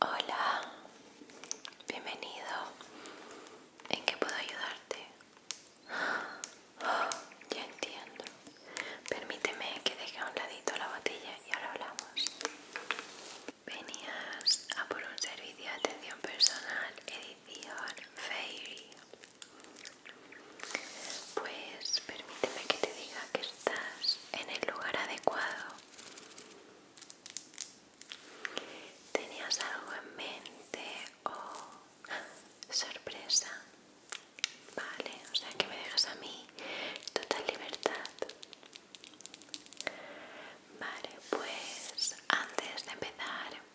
Hola, bienvenido. ¿En qué puedo ayudarte? ya entiendo. Permíteme que deje a un ladito la botella y ahora hablamos. Venías a por un servicio de atención personal edición Fairy. Pues permíteme que te diga que estás en el lugar adecuado. ¿Tenías algo en mente o sorpresa? Vale, o sea que me dejas a mí total libertad. Vale, pues antes de empezar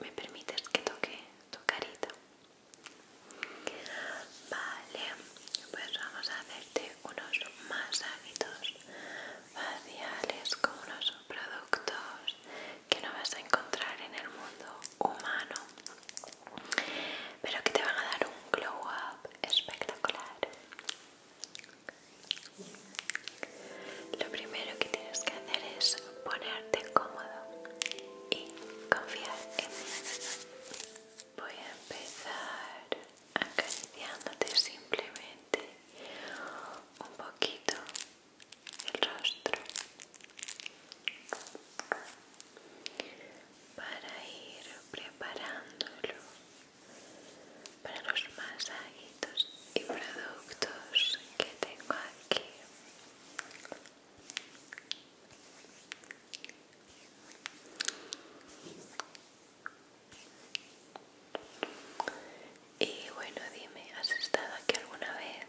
¿Me permites que toque tu carita? Vale, pues vamos a hacerte unos masajitos faciales con unos productos que no vas a encontrar en el mundo humano, pero que te van a dar un glow up espectacular. Lo primero que tienes que hacer es ponerte cómodo y confiar en mí. Voy a empezar acariciándote simplemente un poquito el rostro para ir preparándolo para los masajitos y productos que tengo y bueno dime has estado aquí alguna vez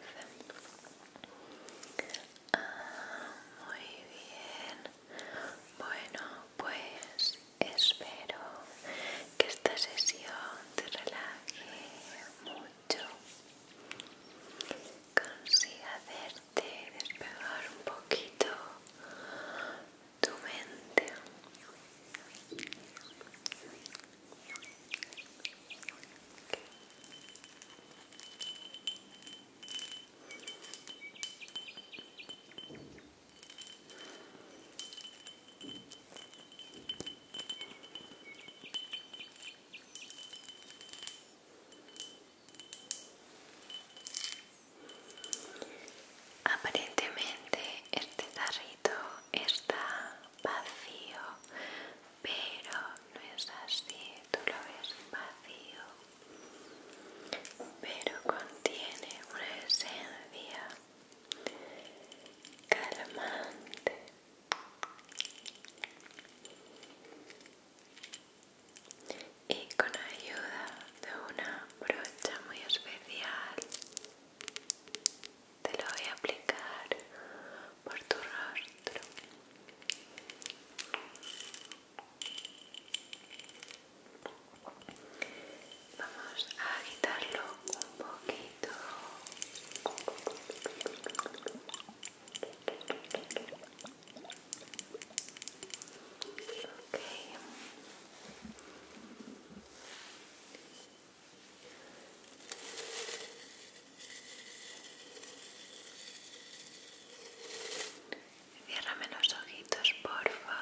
ah, muy bien bueno pues espero que esta sesión te relaje mucho consiga hacerte despegar un poquito tu mente Aparentemente este tarrito está vacío, pero no es así, tú lo ves vacío, pero contiene una esencia calmante y con ayuda de una brocha muy especial te lo voy a aplicar por tu rostro Vamos a agitarlo un poquito. Okay. los ojitos, porfa.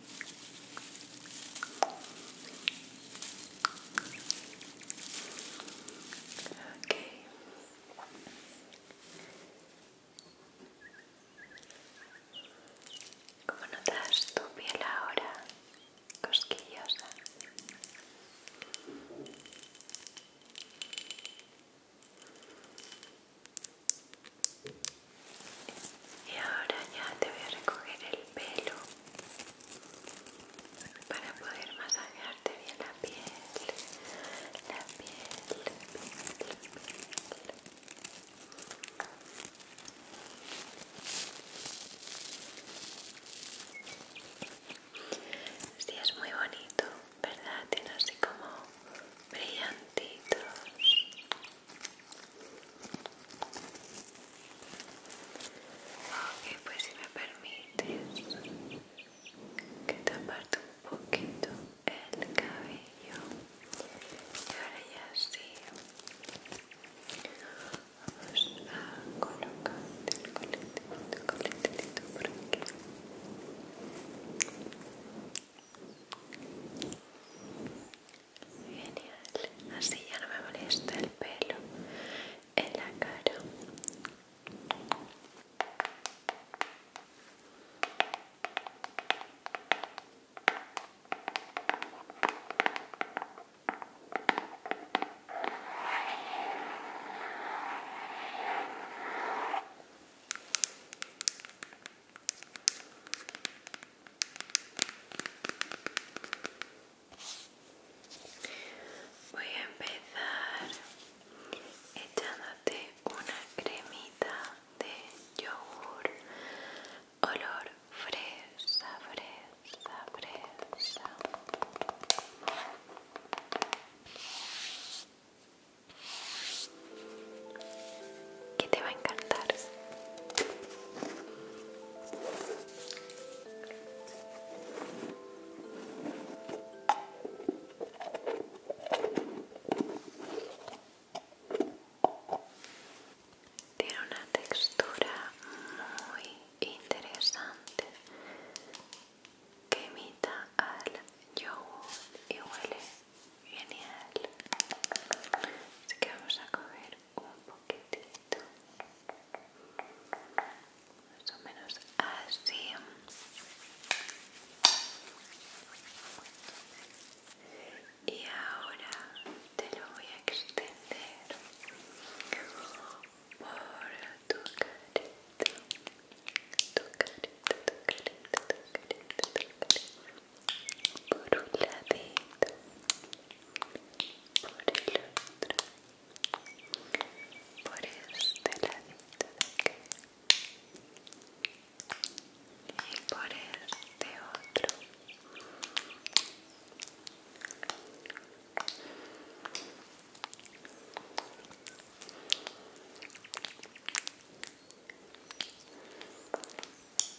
como ¿Cómo notas tu piel ahora? Cosquillosa y ahora ya te voy a recoger el pelo para poder masajearte bien la piel, la piel, la piel, la piel. Sí, es muy bonito, ¿verdad? Tiene así como brillantitos Ok, pues si me permites que te aparte un poquito el cabello y ahora ya sí vamos a colocar el coletito, el por aquí Genial, así ya no me molesta el pelo en la cara. Voy a empezar echándote una cremita de yogur olor fresa, fresa, fresa que te va a encantar. Tiene una textura muy interesante que imita al yogur y huele Genial. Así que vamos a coger un poquitito. Más o menos así. Y ahora te lo voy a extender por tu carita. Tu carita, tu carita, tu carita, tu por un ladito, por el otro, por este ladito de aquí y por este otro.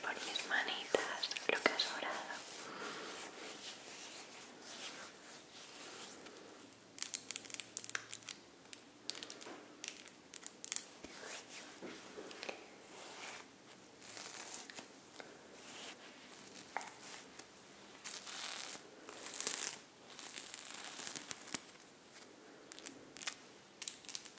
por mis manitas lo que has orado.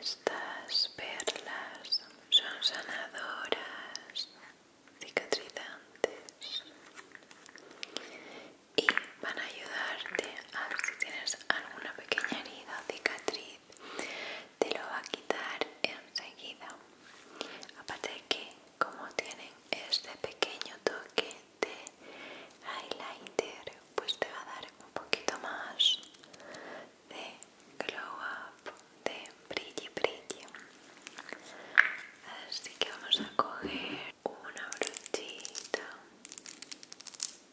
Estas perlas son sanadoras, cicatrizantes y van a ayudarte a si tienes alguna pequeña herida o cicatriz te lo va a quitar enseguida aparte de que como tienen este pequeño toque de highlighter pues te va a dar un poquito más de glow up de brilli brilli así que vamos a coger una brochita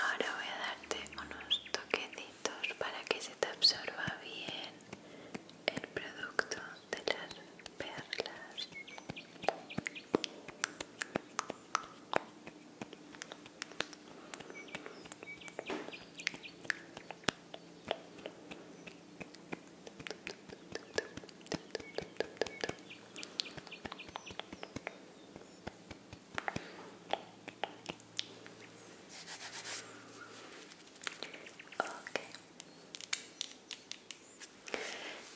Ahora voy a darte unos toquecitos para que se te absorba bien el producto de las perlas. Ok.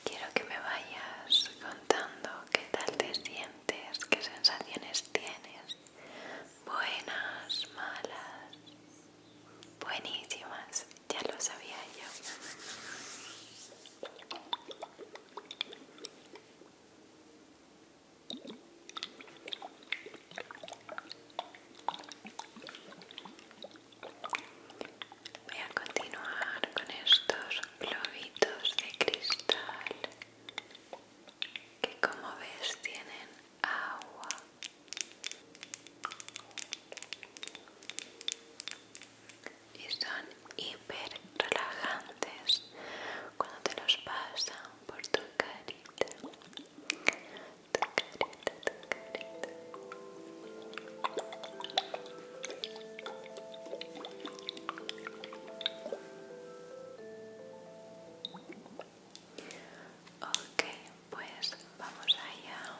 Quiero que me vayas contando qué tal te sientes, qué sensaciones tienes, buenas, malas, buenísimas, ya lo sabía yo. Voy a continuar con estos globitos de cristal que como ves tienen agua y son hiper relajantes cuando te los pasan por tu carita tu pues vamos allá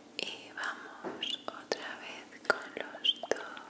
y vamos otra vez con los dos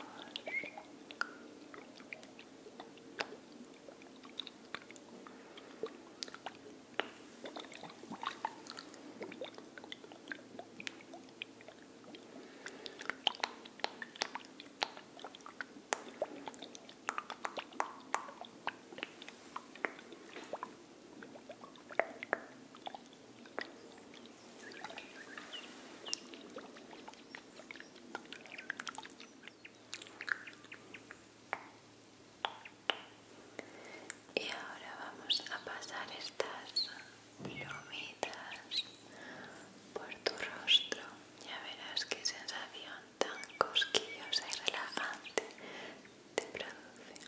y ahora vamos a pasar estas plumitas por tu rostro. Ya verás qué sensación tan cosquillosa y relajante te produce.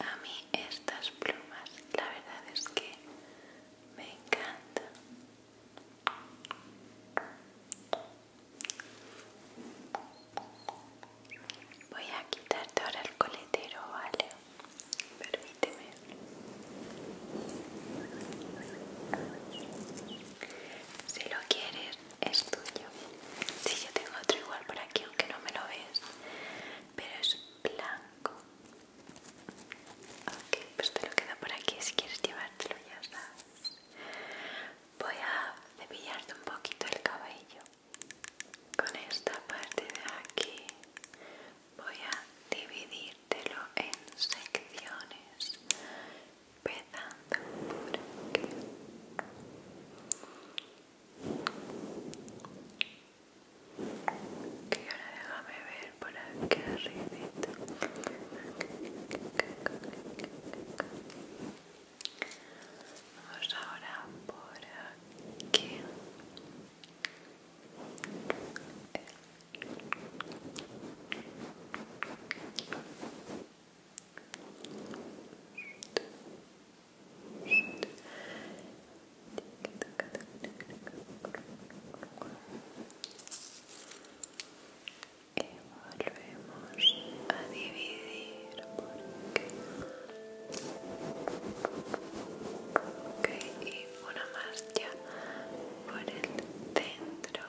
A mí estas plumas, la verdad es que me encantan. Voy a quitarte ahora el coletero, ¿vale? Permíteme. Si lo quieres es tuyo. Sí, yo tengo otro igual por aquí, aunque no me lo ves, pero es blanco. Ok, pues te lo quedo por aquí si quieres llevártelo, ya sabes. Voy a cepillarte un poquito el cabello. Con esta parte de aquí voy a dividírtelo en secciones empezando por aquí que ahora déjame ver por aquí arribito vamos ahora por aquí y volvemos a dividir porque ok y una más ya por el centro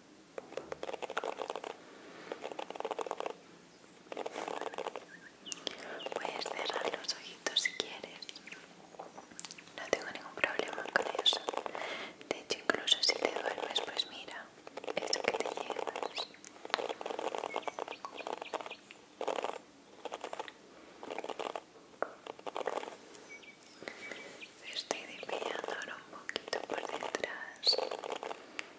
Puedes cerrar los ojitos si quieres. No tengo ningún problema con eso. De hecho, incluso si te duermes, pues mira, esto que te llevas. Estoy desviando ahora un poquito por detrás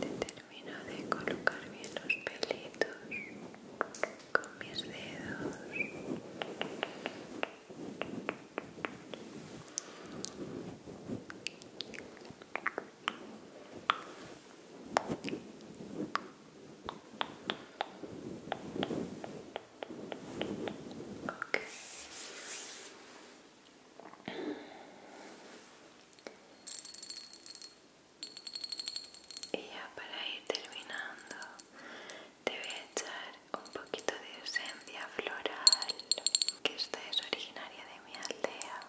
Te termino de colocar bien los pelitos con mis dedos. Y ya para ir terminando, te voy a echar un poquito de esencia floral, que esta es originaria de mi aldea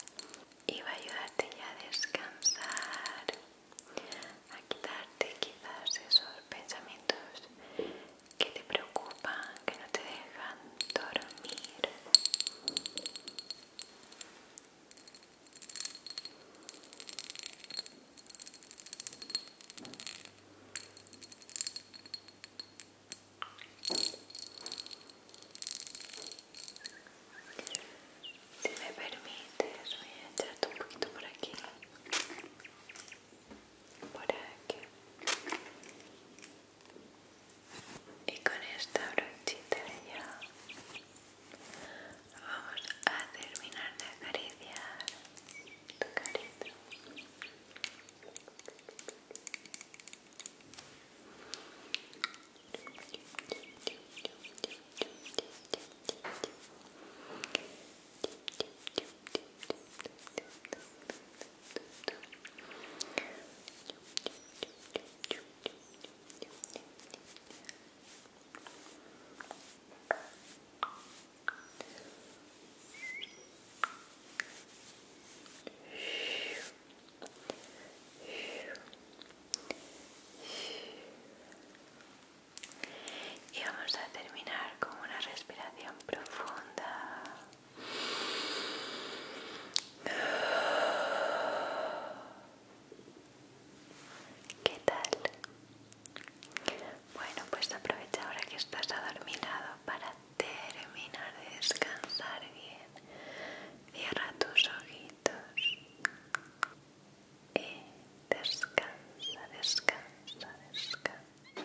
y va a ayudarte ya a descansar, a quitarte quizás esos pensamientos que te preocupan, que no te dejan dormir si me permites voy a echarte un poquito por aquí por aquí y con esta brochita ya vamos a terminar de acariciar tu carita y vamos a terminar con una respiración profunda. ¿Qué tal? Bueno, pues aprovecha ahora que estás adormilado para terminar de descansar bien. Cierra tus ojitos y descansa, descansa, descansa.